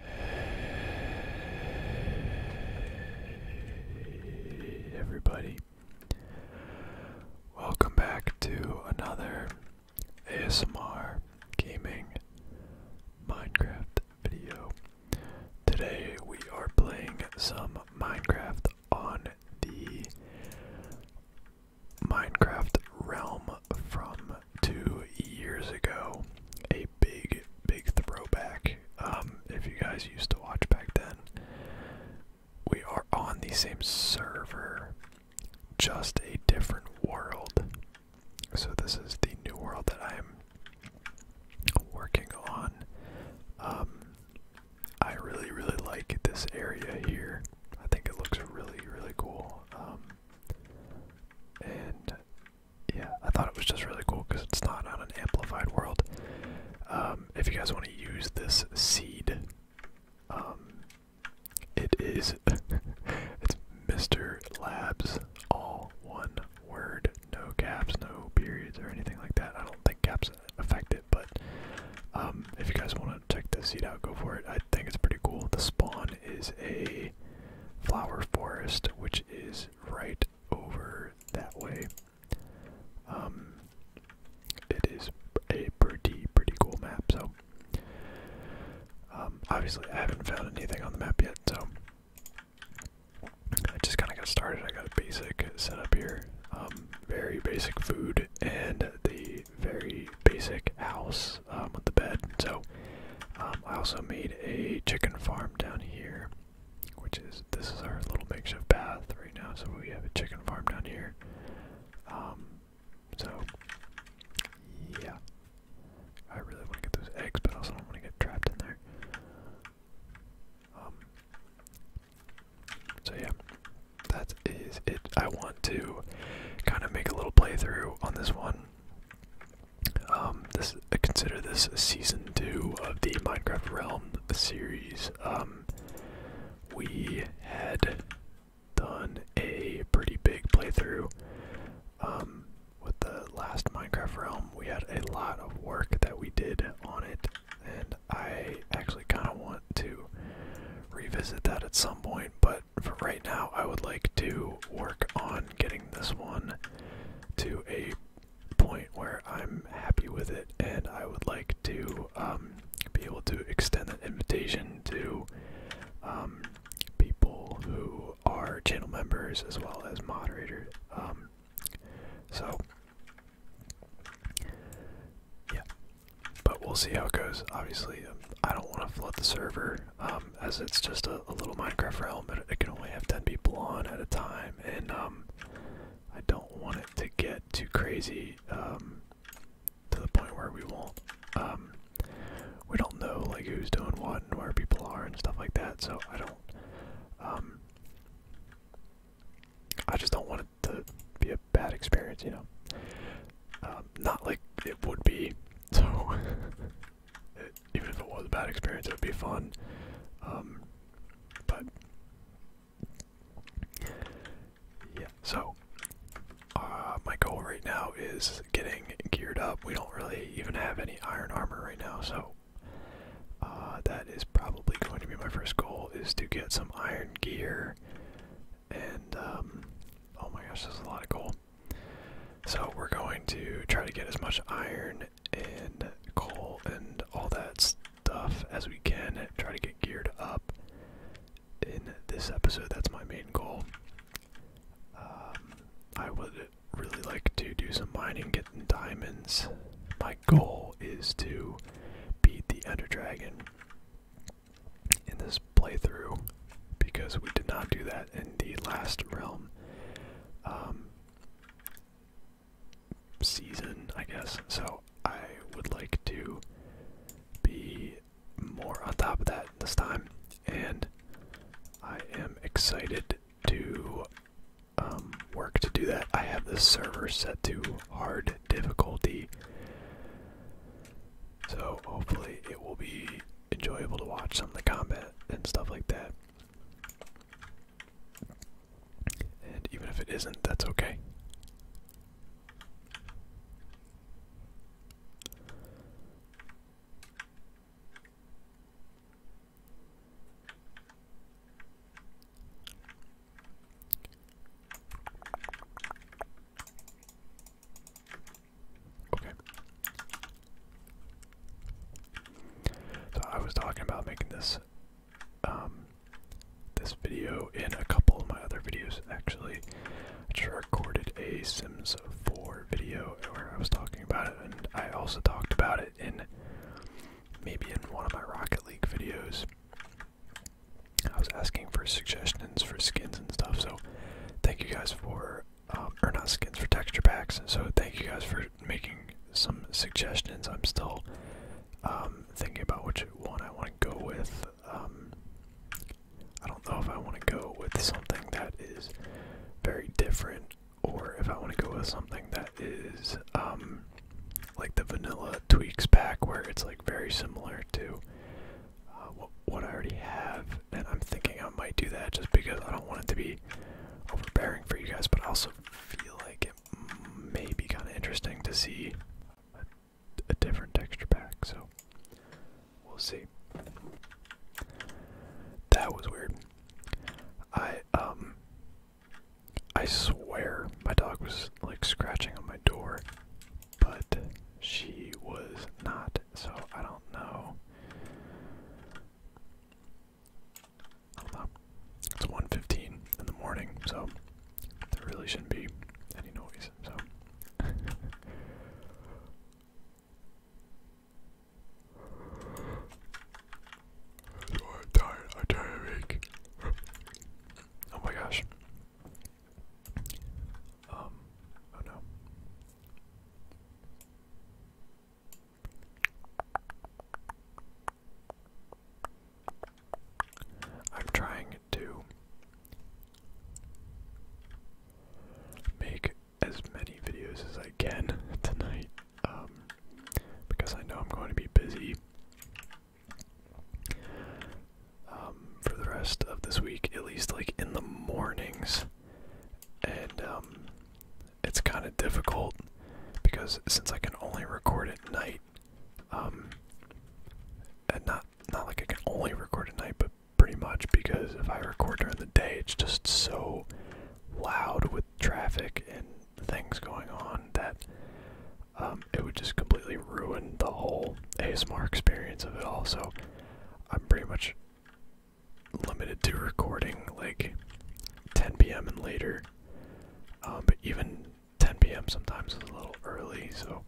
Hey everybody. Welcome back to another ASMR gaming Minecraft video. Today we are playing some Minecraft on the Minecraft Realm from two years ago. A big, big throwback. Um, if you guys used to watch back then, we are on the same server, just a different world. So, this is the new world that I'm working on. Um, I really, really like this area here. I think it looks really, really cool. Um, and yeah, I thought it was just really cool because it's not on an amplified world. Um, if you guys want to use this seed, um, it's Mr. Labs, all one word, no caps, no periods, or anything like that. I don't think caps affect it, but um, if you guys want to check this seed out, go for it. I think it's pretty cool. The spawn is a flower forest, which is right over that way. Um, it is a pretty, pretty cool map, so. Um, obviously, I haven't found anything on the map yet, so. I just kind of got started. I got a basic setup here. Um, very basic food and the very basic house um, with the bed. So um, I also made a chicken farm down here, which is this is our little makeshift bath right now. So we have a chicken farm down here. Um, so yeah, I really want to get those eggs, but also do want to get trapped in there. so yeah, that is it. I want to kind of make a little playthrough on this one um, consider this season two of the Minecraft Realm series. Um, we had done a pretty big playthrough. Um, with the last Minecraft Realm, we had a lot of work that we did on it, and I actually kind of want to revisit that at some point. But for right now, I would like to work on getting this one to a point where I'm happy with it, and I would like to um, be able to extend that invitation to um, people who are channel members as well as moderators. Um, so, yeah, but we'll see how it goes. Obviously, I don't want to flood the server um, as it's just a, little Minecraft realm, but it, can only have 10 people on at a time, and um, I don't want it to get too crazy um, to the point where we won't. we don't know like who's doing what and where people are and stuff like that, so I don't. I just don't want it to be a bad experience, you know. not like it would be, so even if it was a bad experience, it would be fun. Um, but yeah, so uh, my goal right now is getting geared up. We don't really even have any iron armor right now, so uh, that is probably going to be my first goal: is to get some iron gear. And um, oh my gosh, there's a lot of gold. So we're going to try to get as much iron and coal and all that stuff as we can. Try to get geared up in this episode. That's my main goal. Um, I would really like to do some mining, getting diamonds. My goal is to beat the Ender Dragon in this playthrough because we did not do that in the last realm um, season, I guess. So I would like to be more on top of that this time, and I am excited to um, work to do that. I have the server set to hard difficulty. So hopefully it will be enjoyable to watch some of the combat and stuff like that. And even if it isn't, that's okay. Okay. So I was talking about making this um this video in a couple of my other videos actually. I just recorded a Sims 4 video where I was talking about it and I also talked about it in maybe in one of my Rocket League videos. I was asking for suggestions for skins and stuff, so thank you guys for um, or not skins for texture packs. So thank you guys for making some suggestions. I'm still um, thinking about which one I want to go with. Um, I don't know if I want to go with something that is very different, or if I want to go with something that is like the vanilla tweaks pack, where it's like very similar to uh, what I already have, and I'm thinking I might do that just because I don't want it to be overbearing for you guys, but I also feel like it may be kind of interesting to see a, different texture pack, so we'll see. That was weird. I, um, I swear my dog was like scratching on my door but she was not, so I don't know. It's 1.15 in the morning, so there really shouldn't be any noise, so. I'm tired, I'm tired of Oh my gosh. Um, oh, I'm trying to make as many videos as I can tonight um, because I know I'm going to be busy um, for the rest of this week, at least like in the mornings and um, it's kind of difficult because since I can only record at night, um, and not not like I can only record at night, but pretty much because if I record during the day, it's just so loud with traffic and things going on that um, it would just completely ruin the whole ASMR experience of it all. So I'm pretty much limited to recording like 10 p.m. and later. Um, but even 10 p.m. sometimes is a little early, so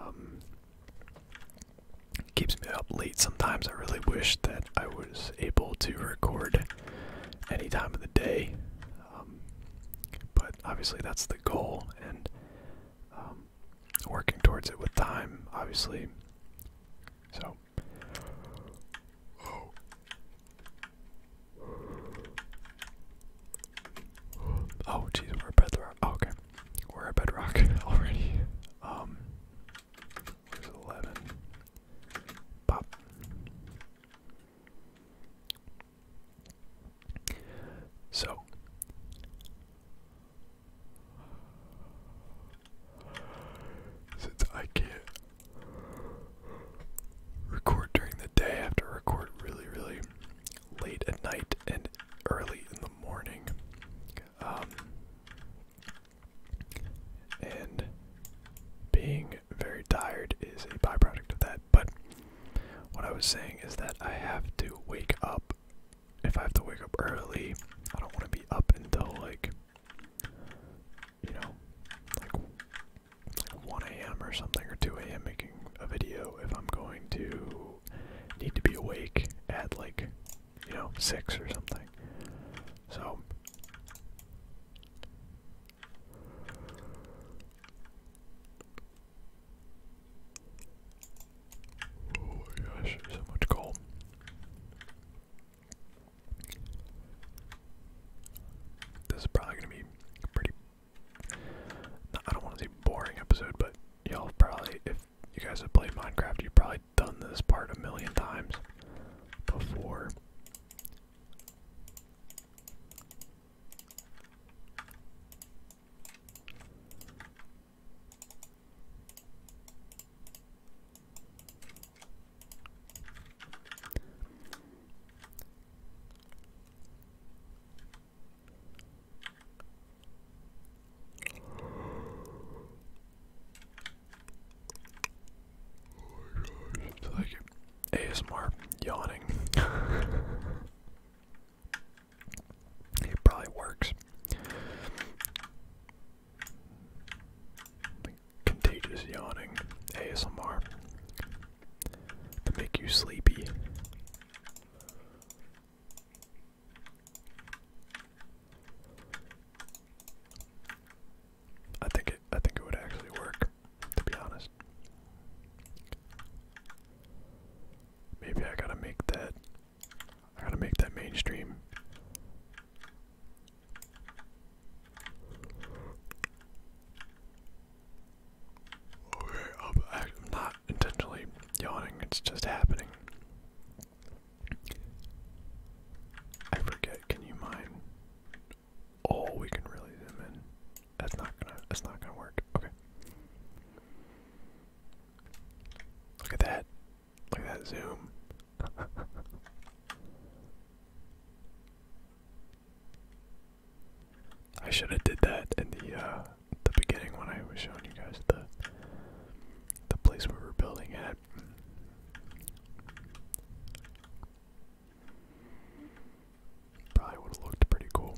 um, keeps me up late sometimes. I really wish that I was able to record any time of the day, um, but obviously that's the goal, and um, working towards it with time, obviously. So, oh. Oh, jeez, we're a bedrock. Oh, okay, we're a bedrock already. Um, eleven. Pop. So, since I can't record during the day, I have to record really, really late at night and early in the morning. Um, and being very tired is a byproduct of that. But what I was saying is that I have to wake up if I have to wake up early, I don't want to be up until like, you know, like, 1 a.m. or something or 2 a.m. making a video if I'm going to need to be awake at like, you know, 6 or something. So. Oh my gosh, so much coal. This is probably gonna be pretty. I don't want to say boring episode, but y'all probably, if you guys have played Minecraft, you've probably done this part a million times before. It's like ASMR yawning. It probably works. Contagious yawning ASMR to make you sleepy. I think it. I think it would actually work. To be honest, maybe I gotta make that I gotta make that mainstream. Okay, I'm, not intentionally yawning, it's just happening. I forget, can you mine? Oh, we can really zoom in. That's not gonna that's not gonna work. Okay. Look at that. Look at that zoom. I should have did that in the uh the beginning when I was showing you guys the the place we were building it. Probably would have looked pretty cool.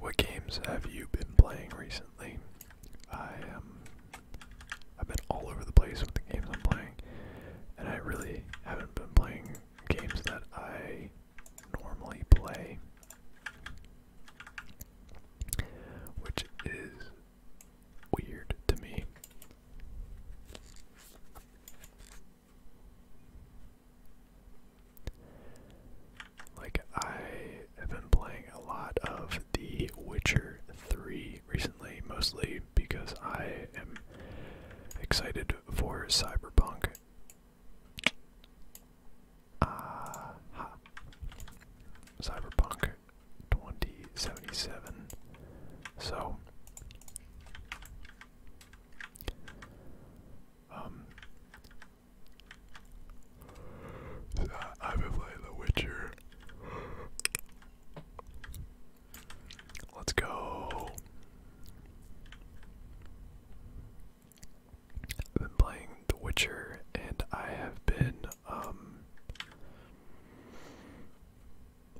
What games have you been playing recently? I um I've been all over the place with the games I'm playing, and I really haven't been playing games that I normally play, which is weird to me. Like, I have been playing a lot of The Witcher 3 recently, mostly because I am excited for Cyberpunk. Uh, ha. Cyberpunk 2077. So um I've been playing The Witcher. Let's go. I've been playing The Witcher and I have been um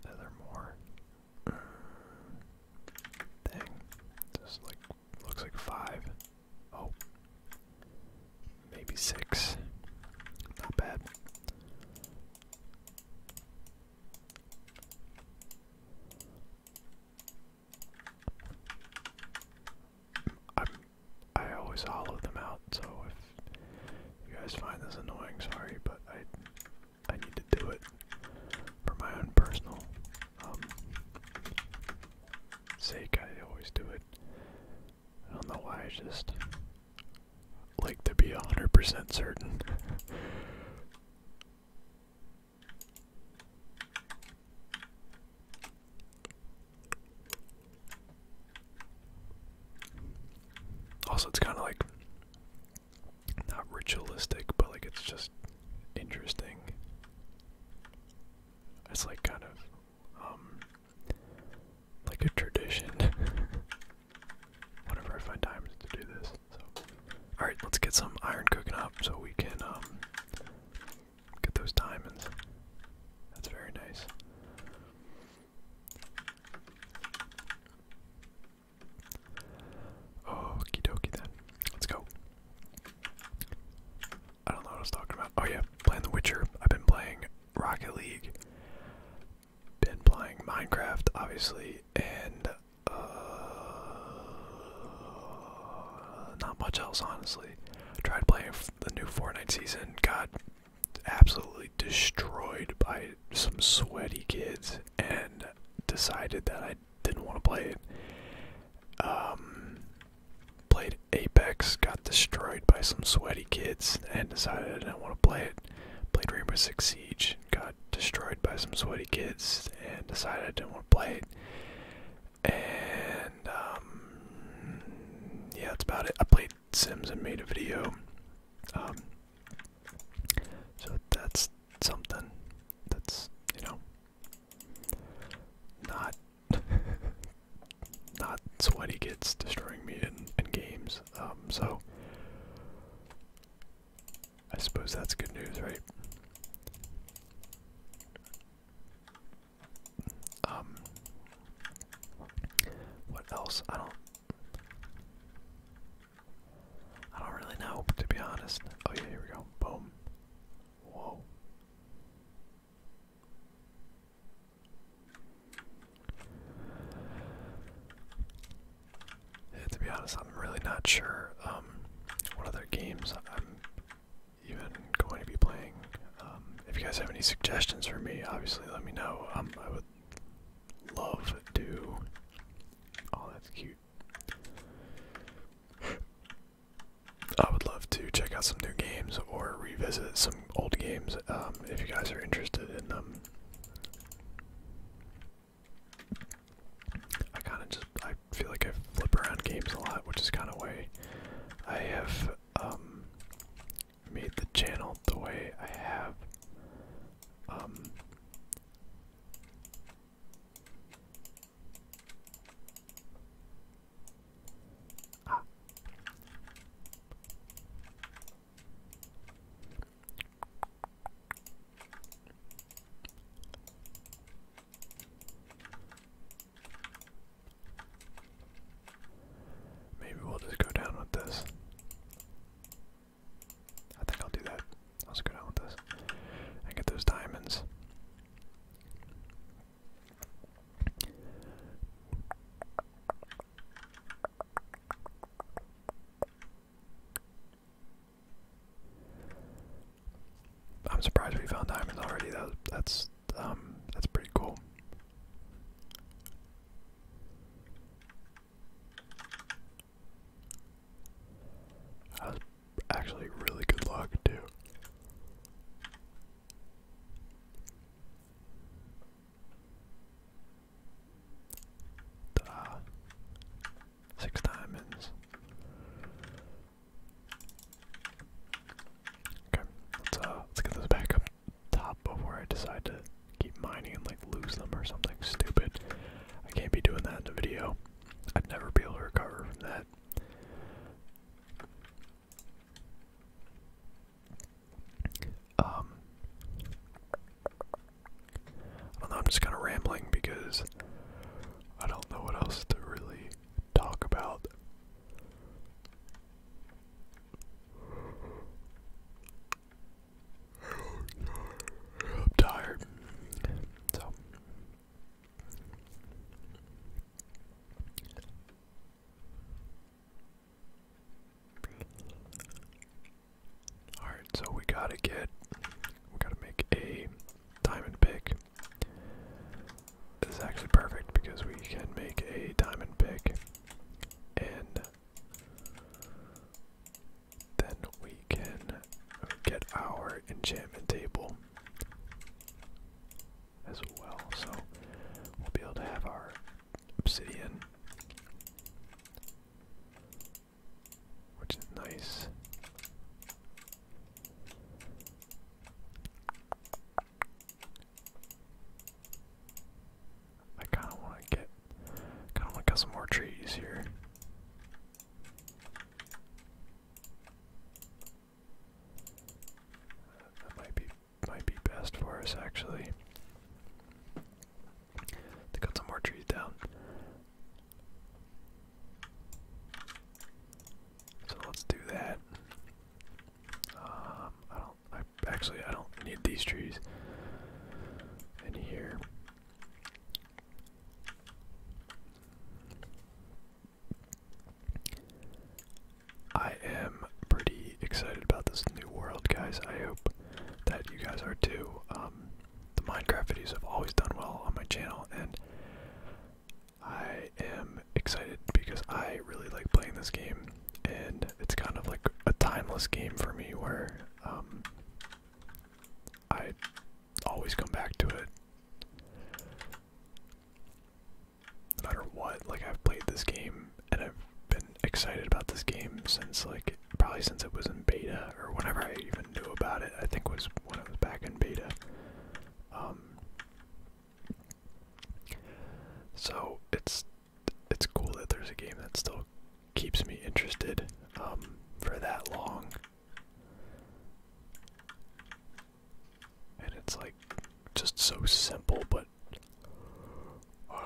are more? Mm. Uh, Dang. like looks like five. Oh. Maybe six. Not bad i I always hollow them out, so if you guys find this annoying, sorry, but I, I need to do it for my own personal um, sake. I always do it. I don't know why I just like to be 100% certain. also, it's kind of like not ritualistic, but like it's just interesting. It's like kind of um like a tradition. whenever I find time to do this. So, all right, let's get some iron cooking up so we can um, get those diamonds. That's very nice. Okie dokie then. Let's go. I don't know what I was talking about. Oh yeah, playing The Witcher. I've been playing Rocket League been playing Minecraft, obviously, and uh, not much else, honestly. Tried playing the new Fortnite season, got absolutely destroyed by some sweaty kids, and decided that I didn't want to play it. Um, played Apex, got destroyed by some sweaty kids, and decided I didn't want to play it. Played Rainbow Six Siege, got destroyed by some sweaty kids and decided I didn't want to play it. And um, yeah, it's about it. I played Sims and made a video. Um, so that's something that's you know not not sweaty kids destroying me in, in games. Um, so I suppose that's good news, right? Um, what else? I don't. I don't really know, to be honest. Oh yeah, here we go. Boom. Whoa to be honest, I'm really not sure um, what other games I'm even going to be playing. Um, if you guys have any suggestions for me, obviously let me know. Um, I would love to. Oh, that's cute. I would love to check out some new games or revisit some old games if you guys are interested in them. I kind of just I feel like I flip around games a lot, which is kind of why I have um, made the channel the way I have. Um, ah. Maybe we'll just go down with this. I think I'll do that. I'll go down with this and get those diamonds. I'm surprised we found diamonds already. Though that's um that's pretty cool. That was actually really good luck too ta ah, Six diamonds. Okay, let's uh let's get this back up top before I decide to keep mining and like lose them or something stupid. I can't be doing that in a video. I'd never be able to recover from that. Um, I don't know, I'm just kind of rambling because I don't know what else to really talk about. I'm tired. So. Alright, so we gotta get, we gotta make a diamond pick. This is actually perfect because we can make a diamond pick and then we can get our enchantment table as well. So we'll be able to have our obsidian, which is nice. I kind of want to get, kind of want to cut some more trees here. That might be might be best for us actually. They cut some more trees down. So let's do that. Um, I don't. I actually I don't need these trees in here. I am pretty excited about this new world, guys. I hope that you guys are too. Um, the Minecraft videos have always done well on my channel, and I am excited because I really like playing this game, and it's kind of like a timeless game for me where um, I always come back to it. No matter what, like I've played this game and I've been excited about this game since like probably since it was in beta or whenever I even knew about it. I think was when it was back in beta. Um, so it's it's cool that there's a game that still keeps me interested um, for that long. And it's like just so simple, but but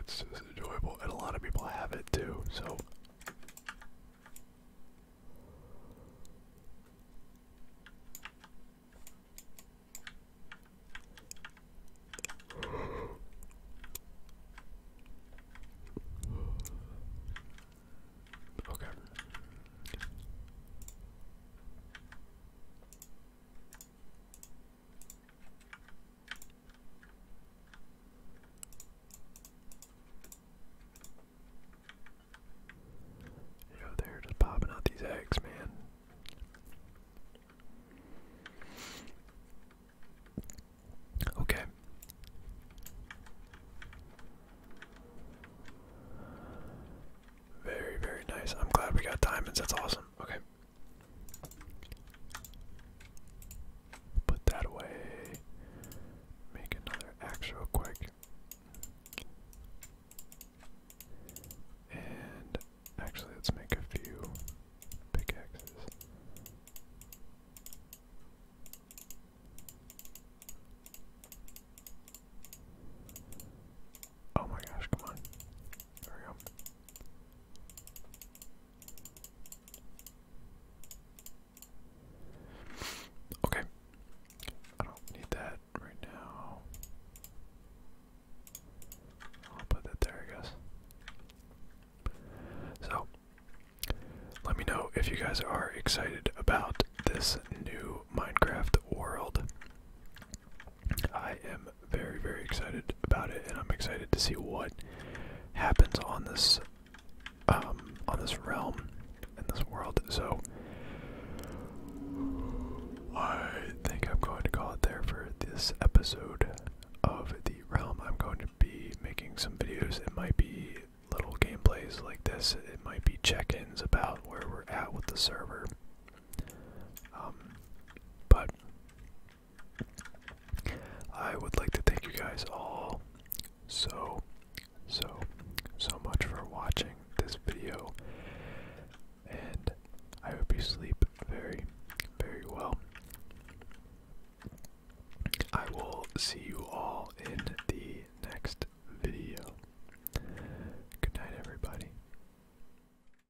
it's just enjoyable, and a lot of people have it too, so. Okay. You they're just popping out these eggs, man. Okay. Very, very nice. I'm glad we got diamonds. That's awesome. Okay. Put that away. Make another axe real quick. And actually, let's make a few pickaxes. Oh my gosh, come on. There we go. Okay. I don't need that right now. I'll put that there, I guess. So, let me know if you guys are excited about this new Minecraft world. I am very, very excited about it, and I'm excited to see what happens on this um, on this realm in this world. So I think I'm going to call it there for this episode of the realm. I'm going to be making some videos. It might be little gameplays like this. It might be check-ins about where we're at with the server. Um, but I would like to thank you guys all so, so, so much for watching this video. And I hope you sleep very, very well. I will see you all in the next video. Good night, everybody.